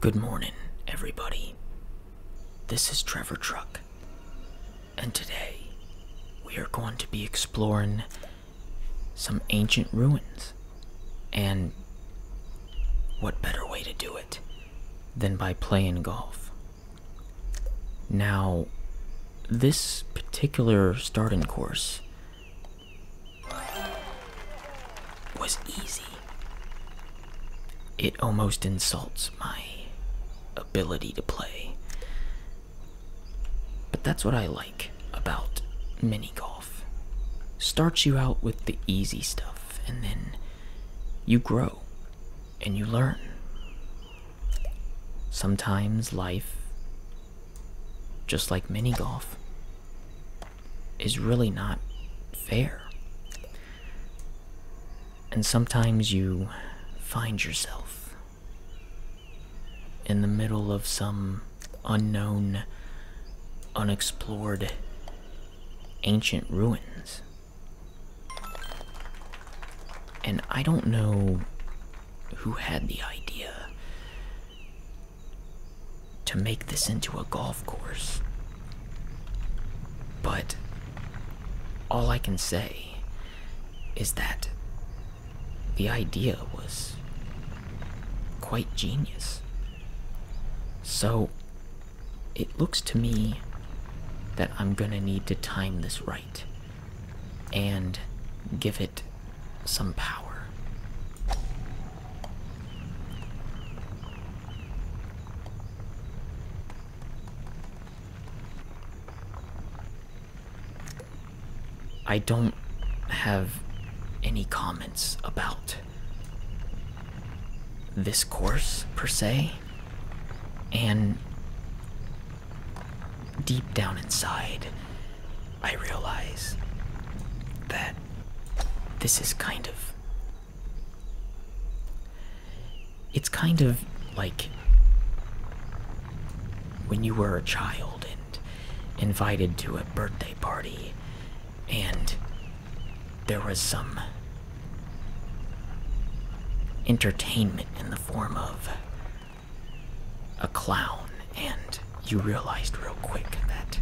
Good morning, everybody. This is Trevor Truck, and today we are going to be exploring some ancient ruins. And what better way to do it than by playing golf? Now, this particular starting course was easy. It almost insults my ability to play. But that's what I like about mini golf. Starts you out with the easy stuff, and then you grow and you learn. Sometimes life, just like mini golf, is really not fair. And sometimes you find yourself in the middle of some unknown, unexplored, ancient ruins. And I don't know who had the idea to make this into a golf course. But all I can say is that the idea was quite genius. So it looks to me that I'm gonna need to time this right and give it some power. I don't have any comments about this course per se, and deep down inside, I realize that this is kind of. It's kind of like when you were a child and invited to a birthday party, and there was some entertainment in the form of a clown, and you realized real quick that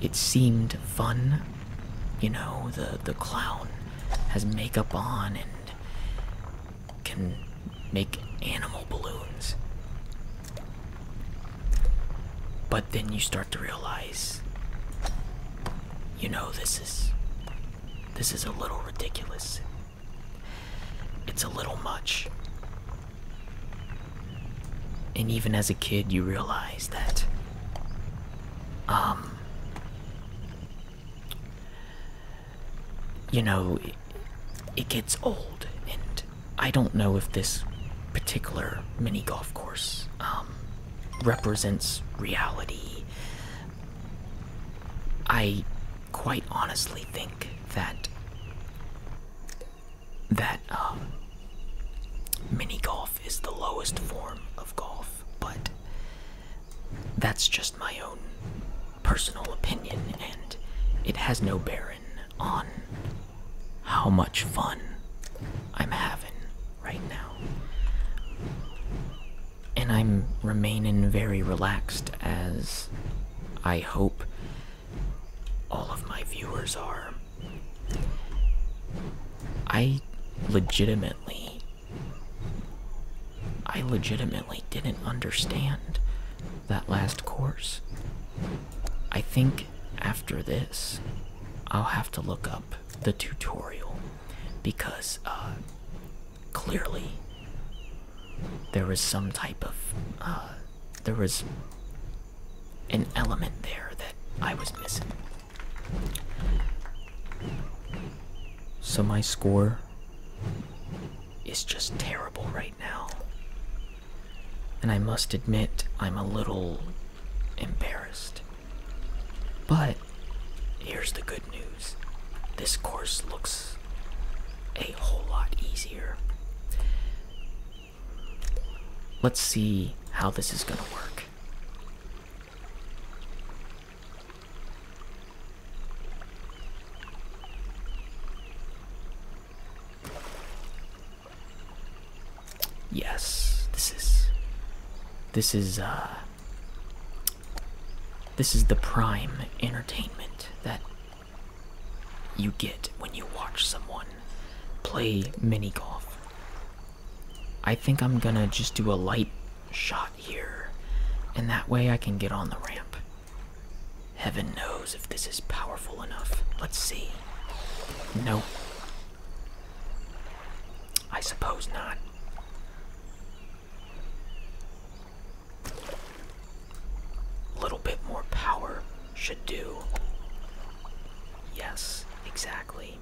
it seemed fun. You know, the the clown has makeup on and can make animal balloons. But then you start to realize you know this is this is a little ridiculous. It's a little much. And even as a kid, you realize that, um, you know, it, gets old. And I don't know if this particular mini golf course um, represents reality. I quite honestly think that that um, mini golf is the lowest form of golf, but that's just my own personal opinion, and it has no bearing on how much fun I'm having right now. And I'm remaining very relaxed as I hope all of my viewers are. I legitimately I legitimately didn't understand that last course. I think after this I'll have to look up the tutorial because uh, clearly there was some type of uh, there was an element there that I was missing. So my score is just terrible right now. And I must admit, I'm a little embarrassed. But here's the good news this course looks a whole lot easier. Let's see how this is going to work. Yes, this is this is uh this is the prime entertainment that you get when you watch someone play mini golf. I think I'm gonna just do a light shot here, and that way I can get on the ramp. Heaven knows if this is powerful enough. Let's see. No. I suppose not. A little bit more power should do. Yes, exactly.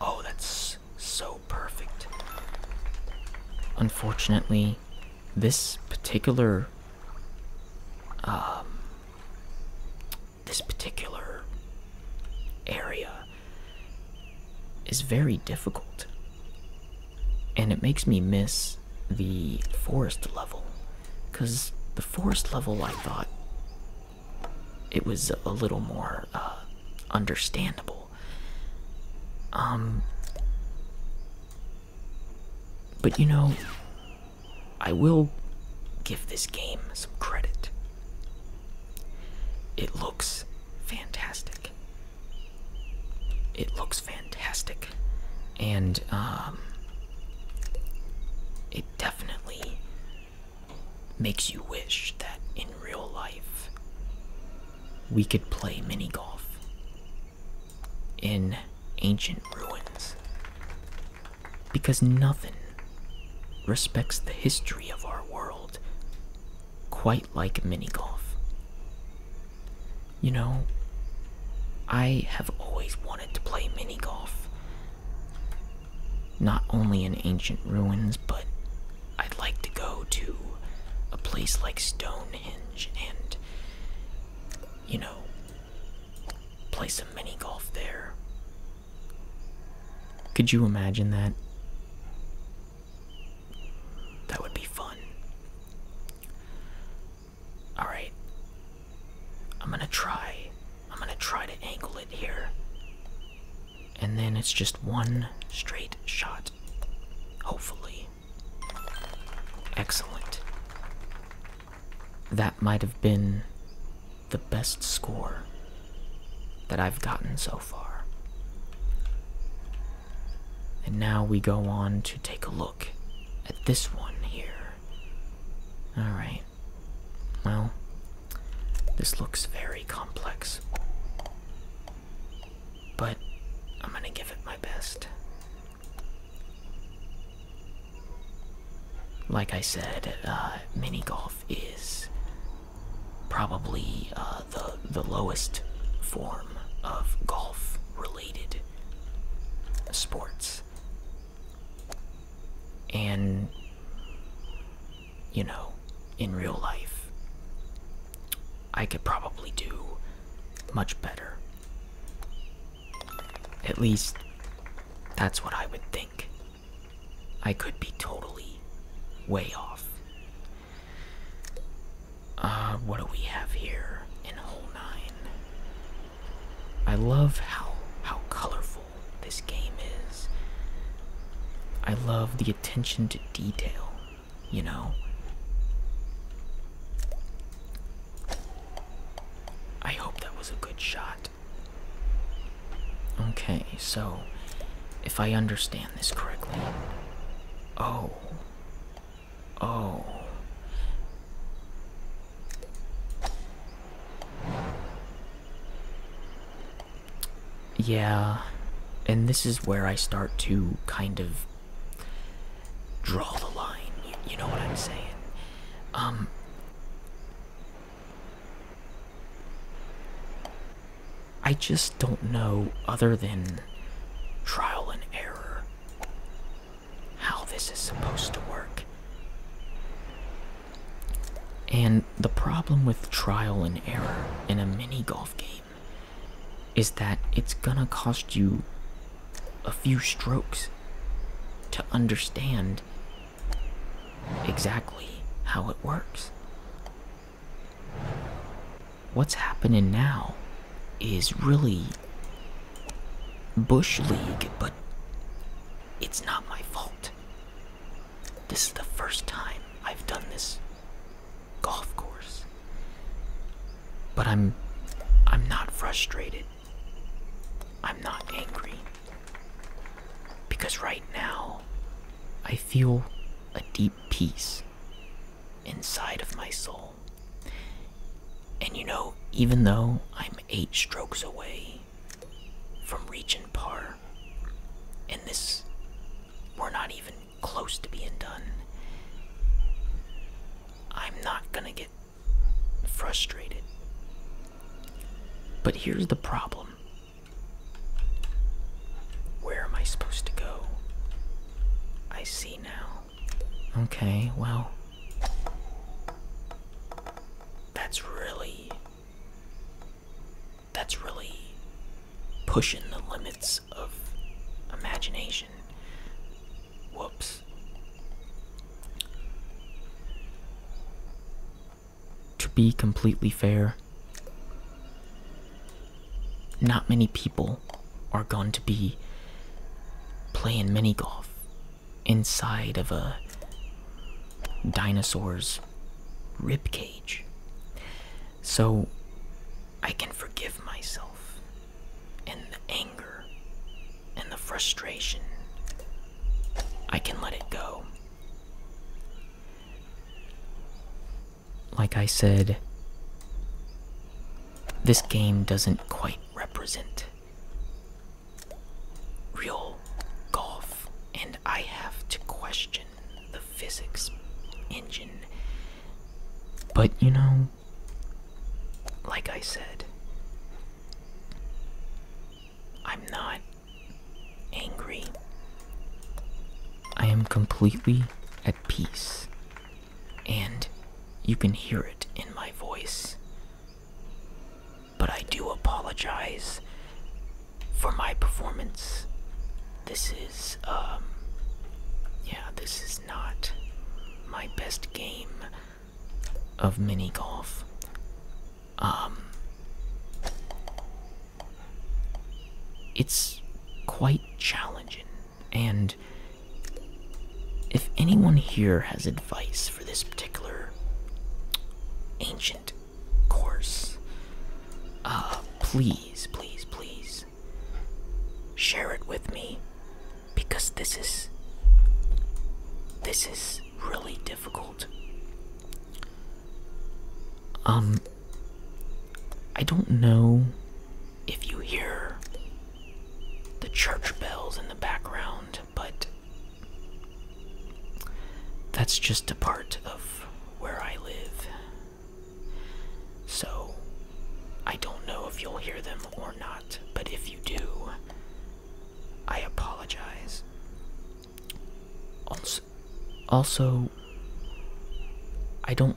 Oh, that's so perfect. Unfortunately, this particular um, this particular area is very difficult and it makes me miss the forest level. Because the forest level, I thought it was a little more uh, understandable. Um, but you know, I will give this game some credit. It looks fantastic. It looks fantastic and um, it definitely makes you wish that in real life we could play mini golf in ancient ruins because nothing respects the history of our world quite like mini golf. You know, I have always wanted to play mini golf. Not only in ancient ruins, but I'd like to go to a place like Stonehenge and, you know, play some mini golf there. Could you imagine that? That would be fun. Alright. I'm gonna try. I'm gonna try to angle it here. And then it's just one straight shot. Hopefully. Excellent. That might have been the best score that I've gotten so far. And now we go on to take a look look at this one here. Alright. Well, this looks very complex. But I'm gonna give it my best. Like I said, uh, mini golf is probably uh, the the lowest form of golf-related sports and you know in real life i could probably do much better at least that's what i would think i could be totally way off uh what do we have here in hole 9 I love how how colorful this game is. I love the attention to detail, you know. I hope that was a good shot. Okay, so if I understand this correctly. Oh. Oh. Yeah. And this is where I start to kind of draw the line. You, know what I'm saying? Um. I just don't know, other than trial and error, how this is supposed to work. And the problem with trial and error in a mini golf game is that it's gonna cost you a few strokes to understand exactly how it works. What's happening now is really Bush League, but it's not my fault. This is the first time I've done this golf course. But I'm I'm not frustrated. I'm not angry. Because right now I feel a deep peace inside of my soul. And you know, even though I'm eight strokes away from reaching par, and this, we're not even close to being done, I'm not gonna get frustrated. But here's the problem. Where am I supposed to go? I see now. Okay, well. That's really. That's really pushing the limits of imagination. Whoops. To be completely fair, not many people are going to be playing mini golf inside of a dinosaur's rib cage. So I can forgive myself and the anger and the frustration. I can let it go. Like I said, this game doesn't quite represent real golf, and I have to question the physics engine. But you know, like I said, I'm not angry. I am completely at peace, and you can hear it in my voice. But I do apologize for my performance. This is, um, yeah, this is not my best game of mini golf. Um, it's quite challenging and if anyone here has advice for this particular ancient course, uh, please, please, please share it with me because this is this is really difficult. Um, I don't know if you hear the church bells in the background but that's just a part of where I live. So I don't know if you'll hear them or not, but if you do, I apologize. Also, also I don't.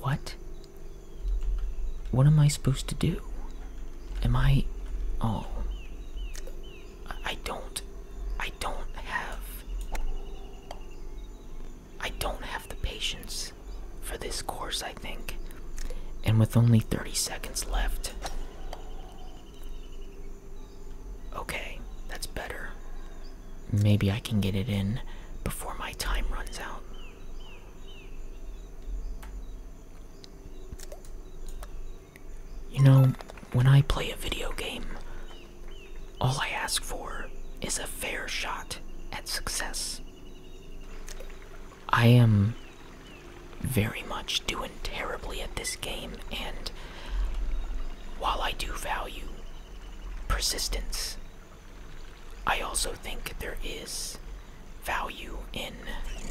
What? What am I supposed to do? Am I. Oh. I don't. I don't have. I don't have the patience for this course, I think. And with only 30 seconds left. Okay, that's better. Maybe I can get it in before my time runs out. You know, when I play a video game, all I ask for is a fair shot at success. I am very much doing terribly at this game, and while I do value persistence I also think there is value in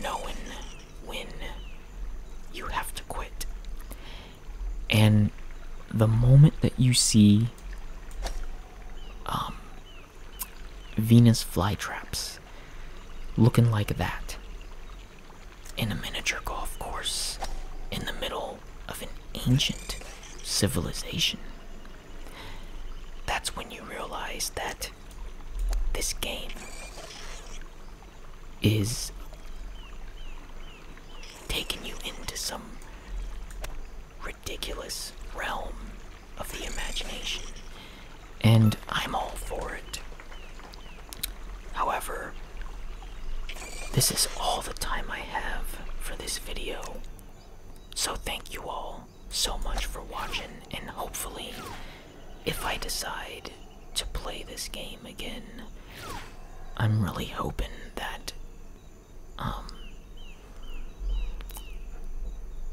knowing when you have to quit. And the moment that you see um, Venus flytraps looking like that in a miniature golf course in the middle of an ancient civilization, that's when you realize that this game is taking you into some ridiculous realm of the imagination, and I'm all for it. However, this is all the time I have for this video, so thank you all so much for watching, and hopefully, if I decide to play this game again, I'm really hoping that um,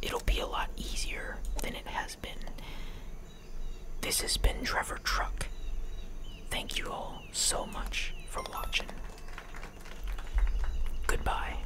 it'll be a lot easier than it has been. This has been Trevor Truck. Thank you all so much for watching. Goodbye.